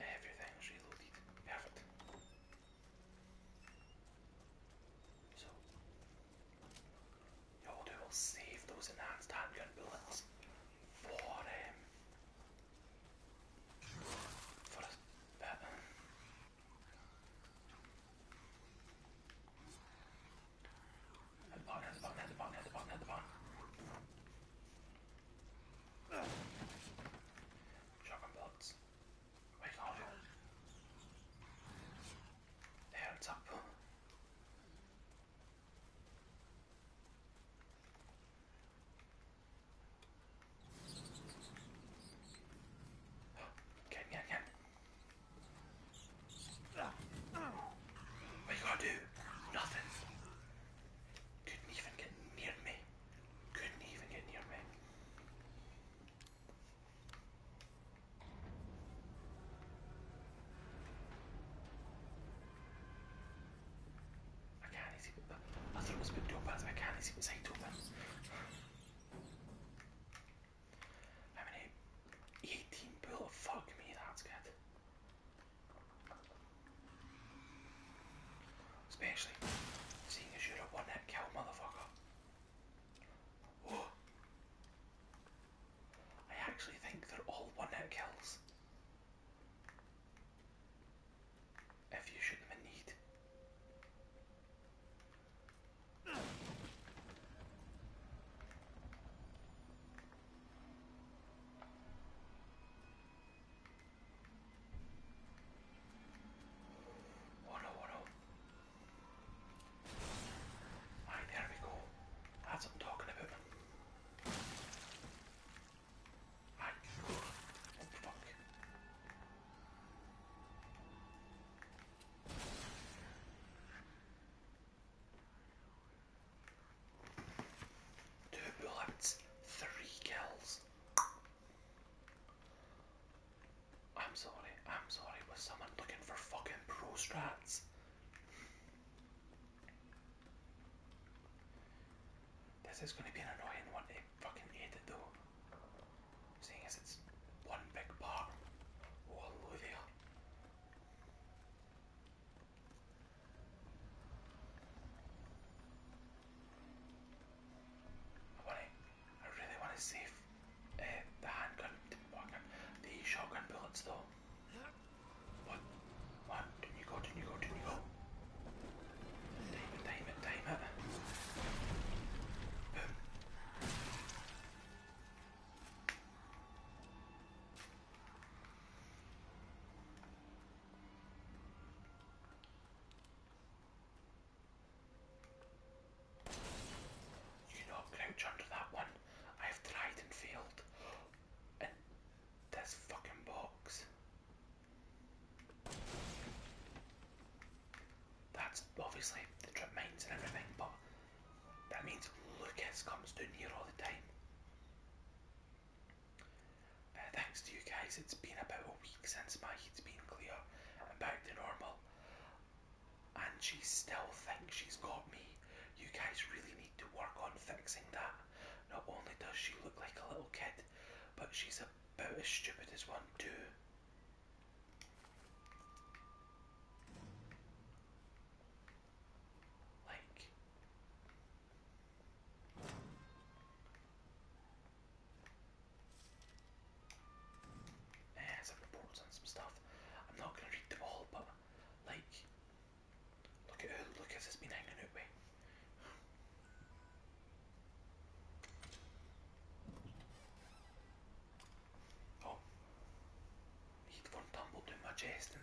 Everything's reloaded. Perfect. So, you'll do will save those enhanced handgun bullets for um, for a bit. Hit the button, hit the button, hit the button, hit Dragon bolts. We got it. There, it's up. Again, again, again. We gotta do nothing. Couldn't even get near me. Couldn't even get near me. I can't see I thought it was big topaz, I can't see what's side open. How many 18 bull fuck me that's Especially seeing as you're a one hit kill motherfucker. Oh. I actually think they're all one hit kills. If you shoot them in need. Oh no, oh no. Right, there we go. That's what I'm talking about. Right. Oh fuck. Two bullets, three kills. I'm sorry, I'm sorry, was someone looking for fucking prostrats? This is gonna be an annoying one They fucking edit though. Seeing as it's one big part. Oh hello I want to, I really want to save eh, the handgun, the shotgun bullets though. What? What? Did you go? Did you go? Did you go? Time it, time it, time it. You know, crouch under that one. I have tried and failed. And this fucking box. That's obviously the trip mines and everything, but that means Lucas comes down here all the time. Uh, thanks to you guys, it's been about a week since my heat's been clear and back to normal. And she still thinks she's got me. You guys really need to work on fixing that. Not only does she look like a little kid, but she's about as stupid as one too. Like, yeah, some reports on some stuff. I'm not gonna read them all, but like, look at who Lucas has been hanging out with. Oh, he one tumble down my chest and me.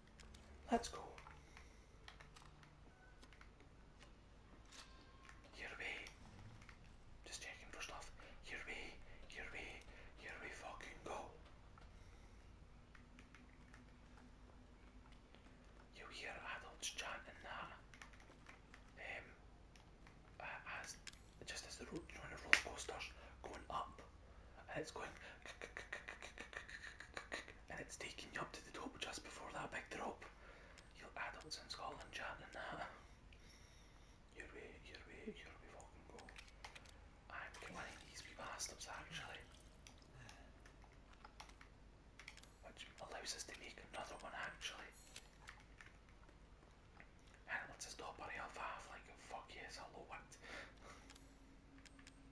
That's cool. Here we just checking for stuff. Here we here we here we fucking go. You hear adults chanting that um as just as the road you know, the roller coasters going up and it's going and it's taking you up to the top just before that big drop. You adults in Scotland chanting that. Your way, your way, your way fucking go. I'm killing these bastards actually. Which allows us to make another one actually. And it lets us top our health like fuck yes, hello what.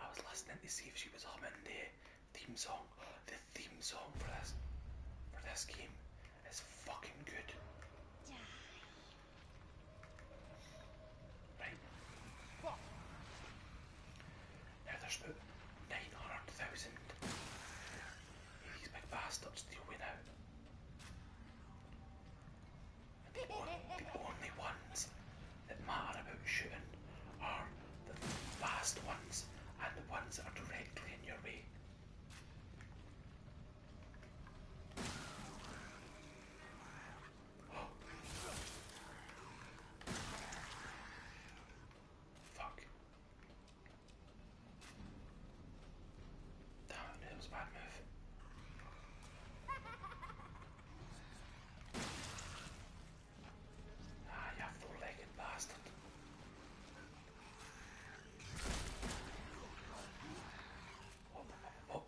I was listening to see if she was humming the theme song. The theme song for this for this game is fucking good. Right. Fuck. Now there's nine hundred thousand these big bastards to win out. the only ones that matter about shooting are the fast ones and the ones that are directly in your way. Fuck. Damn it, was a bad move. Ah, you four-legged bastard. Hop, hop,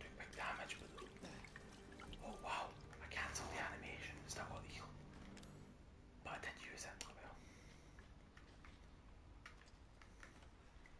Do big damage. Oh wow, I cancelled the animation. Is that what the But I did it.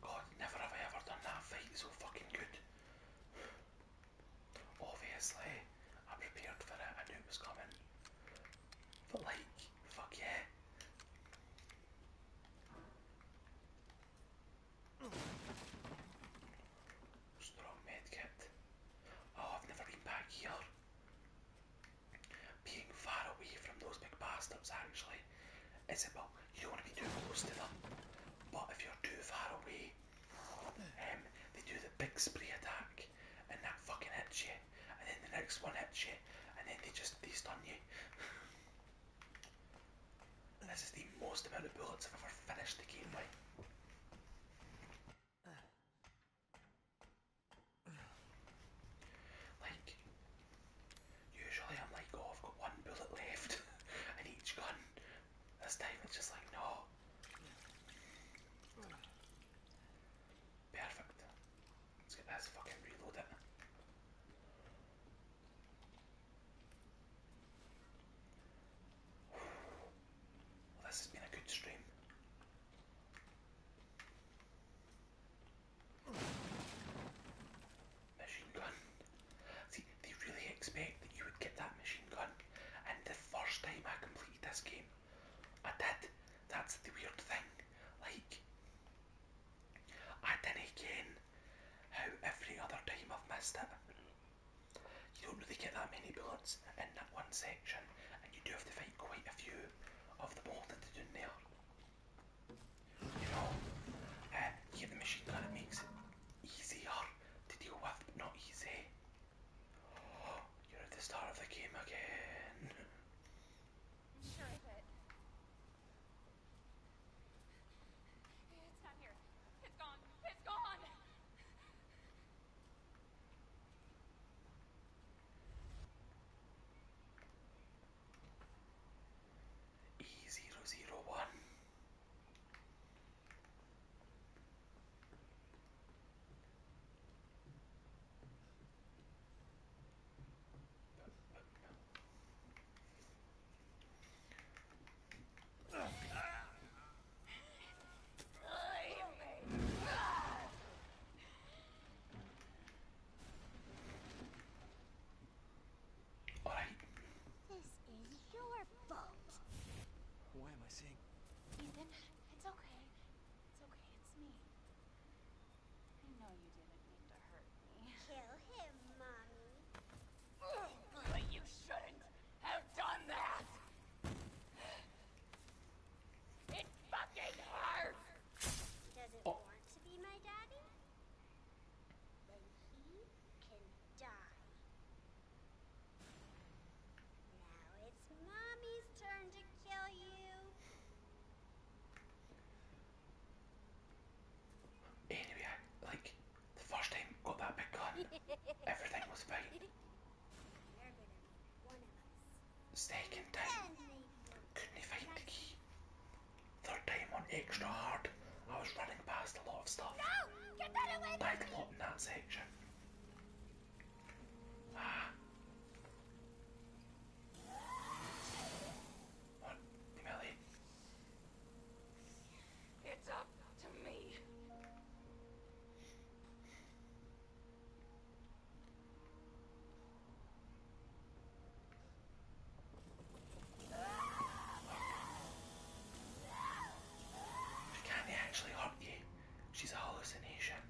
God, never have I ever done that fight so fucking good. Obviously, I prepared for it, I knew it was coming. But like, fuck yeah. Strong medkit. Oh, I've never been back here. Being far away from those big bastards actually is about you don't want to be too close to them. But if you're too far away, um, they do the big spray attack, and that fucking hits you, and then the next one hits you, and then they just they stun you. this is the most amount of bullets I've ever finished the game with. Like, Usually I'm like, oh, I've got one bullet left in each gun. This time it's just like, no. Perfect. Let's get this fucking reload it. Well, this has been a good stream machine gun. See, they really expect that you would get that machine gun. And the first time I completed this game, I did. That's the weird thing. Like, I didn't again how every other time I've missed it. You don't really get that many bullets in that one section, and you do have to fight quite a few of the ball that they do in there. You know, uh, yeah, the machine kind makes it easier to deal with, but not easy. Oh, you're at the start of the game again. It's not here. It's gone. It's gone. E001 Alright. This is your boat. Why am I seeing? it's okay. It's okay, it's me. I know you didn't mean to hurt me. Kill him, Mommy. But you shouldn't have done that! It fucking hurts! Does it oh. want to be my daddy? then he Anyway, like, the first time I got that big gun, everything was fine. Second time, couldn't find the key. Third time on extra hard, I was running past a lot of stuff. No! Get that away Died a lot in that section. Ah. What? It's up to me. She can't actually hurt you. She's a hallucination.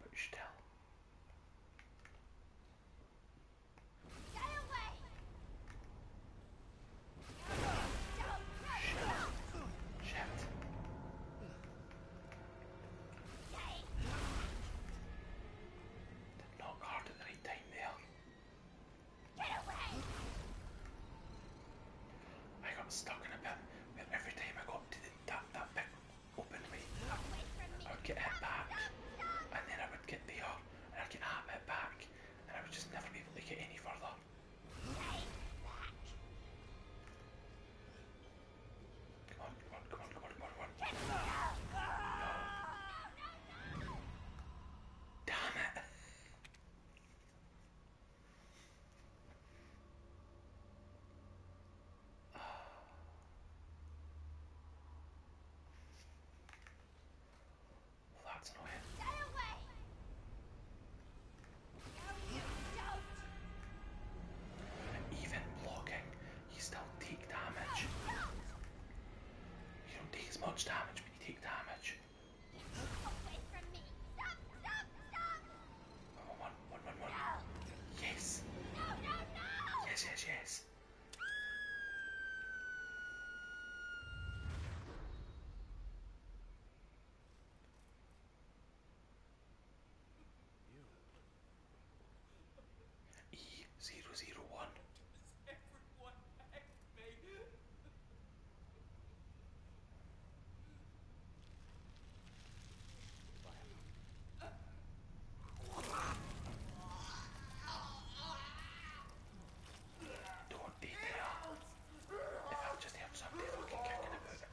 But still. Shit. Shit. Did hard at the right time there. Get away! I got stuck in a bit where every time I got to that, that big open way, I would get hit back and then I would get there and I'd get that bit back and I would just never be able to get any further. Come on, come on, come on, come on, come on, come on. No. No, no. Damn it. Well, that's annoying. Get away! No, you don't! Even blocking, he still take damage. You don't take as much damage, but you take damage. One, one, one, one, one. Yes. No, no, no. Yes, yes, yes. You. E zero zero one. Don't be there. If I'm just have something fucking kicking about.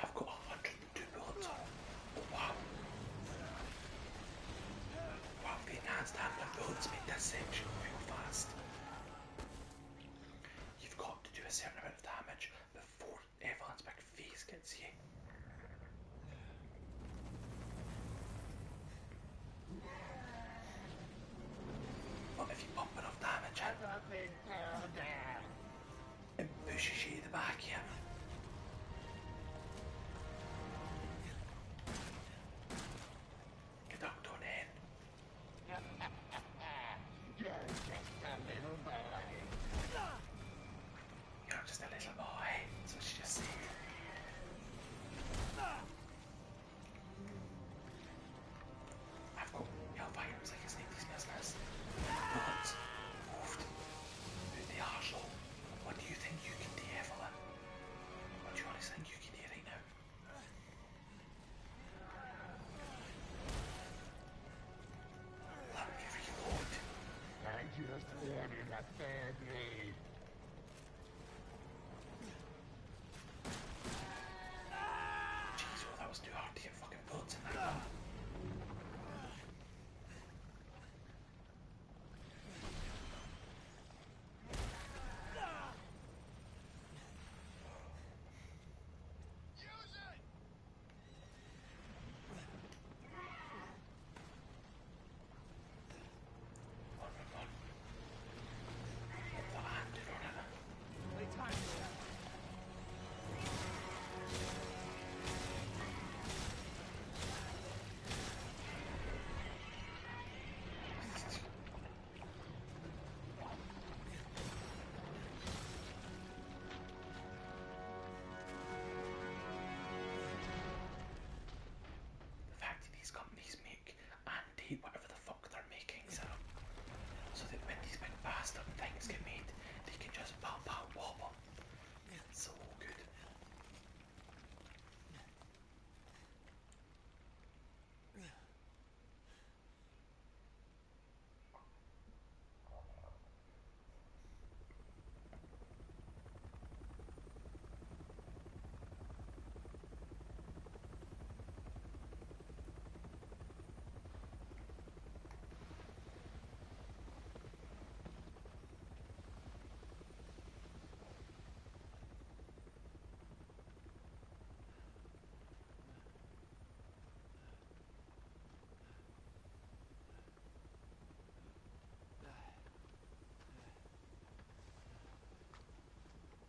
I've got 102 bullets wow. Wow, the bullets make this section real fast. You've got to do a certain amount of damage before Evelyn's big gets you. But if you pump enough damage it pushes you the back, yeah. Get up, don't end. You're just a little boy. You're just a little boy. That's she just I've got Hellfires, I can sneak these business. Bullets. Oofed. Who's the arsehole? What do you think you can do, Evelyn? What do you honestly think you can do right now? Let me reload. I just ordered a third raid. Jeez, well, oh, that was too hard to get fucking bullets in that one. On, on, on. Put the hand in on it. The fact that these companies make and date whatever the fuck for making syrup. So that when these big bastard things get made, they can just pop out wobble. It's so good.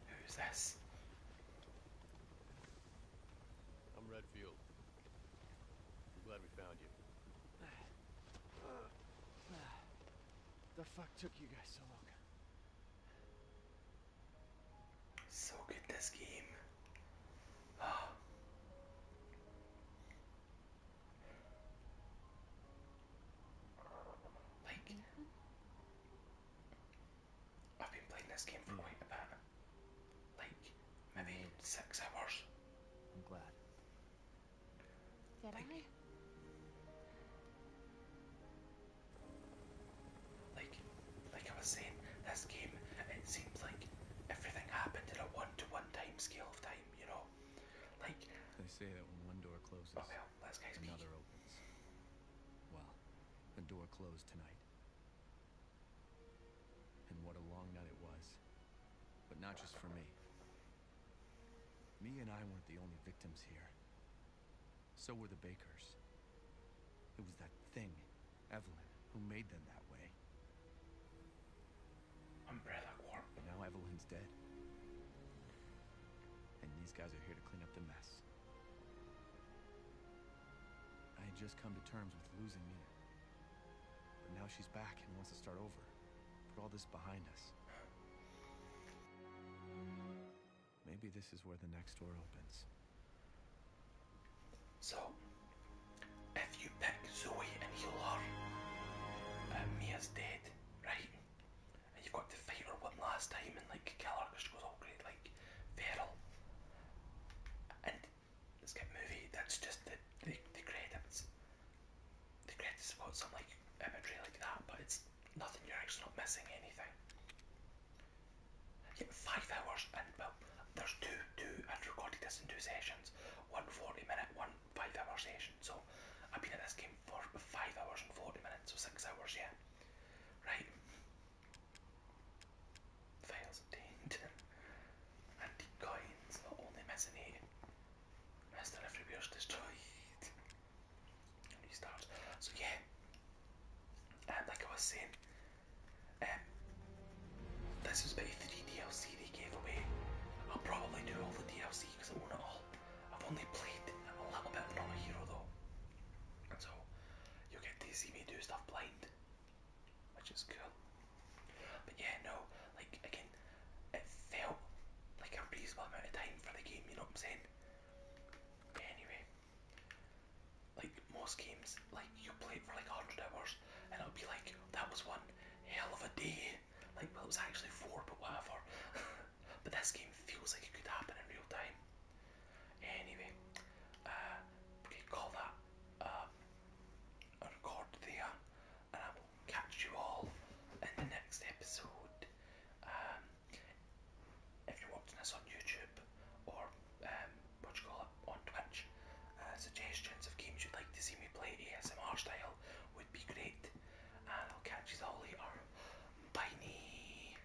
Who's this? I'm Redfield. I'm glad we found you. The fuck took you guys so long? So good this game. like. I've been playing this game for hmm. quite a bit. Like, maybe six hours. I'm glad. Did like, I? Like, like I was saying, this game, it seems like everything happened in a one-to-one time scale of time, you know? Like... They say that when one door closes, oh well, another opens. Well, the door closed tonight. And what a long night it was. But not just for me. Me and I weren't the only victims here. So were the Bakers. It was that thing, Evelyn, who made them that way. Umbrella Corp. But now Evelyn's dead. And these guys are here to clean up the mess. I had just come to terms with losing Mina. But now she's back and wants to start over. Put all this behind us. Maybe this is where the next door opens. So, if you pick Zoe and heal her, um, uh, Mia's dead, right? And you've got to fight her one last time and like kill her because she goes all oh, great, like Feral, and it's got movie that's just the, the, the credits. The credits have some like imagery like that, but it's nothing. You're actually not missing anything. Yeah, five hours and well, there's two two. I've recorded this in two sessions. One 40 minute, one five hour session. So I've been at this game for five hours and 40 minutes, so six hours. Yeah, right. Fails obtained. Antique coins are only mezzanine. Rest and retribution destroyed. restart. So yeah. And um, like I was saying, um, this was about 3 DLC they gave away. I'll probably do all the DLC because I own it all. I've only played a little bit of Not Hero though. So you get to see me do stuff blind, which is cool. But yeah, no, like again, it felt like a reasonable amount of time for the game. You know what I'm saying? anyway, like most games, like you play it for like hundred hours, and it'll be like that was one hell of a day. Like well, it was actually four, but whatever. but this game feels like it could happen in real time. Anyway, uh, we call that um, a record and I will catch you all in the next episode. Um, if you're watching us on YouTube or um, what you call it on Twitch, uh, suggestions of games you'd like to see me play ASMR style would be great. And I'll catch you all later. Bye.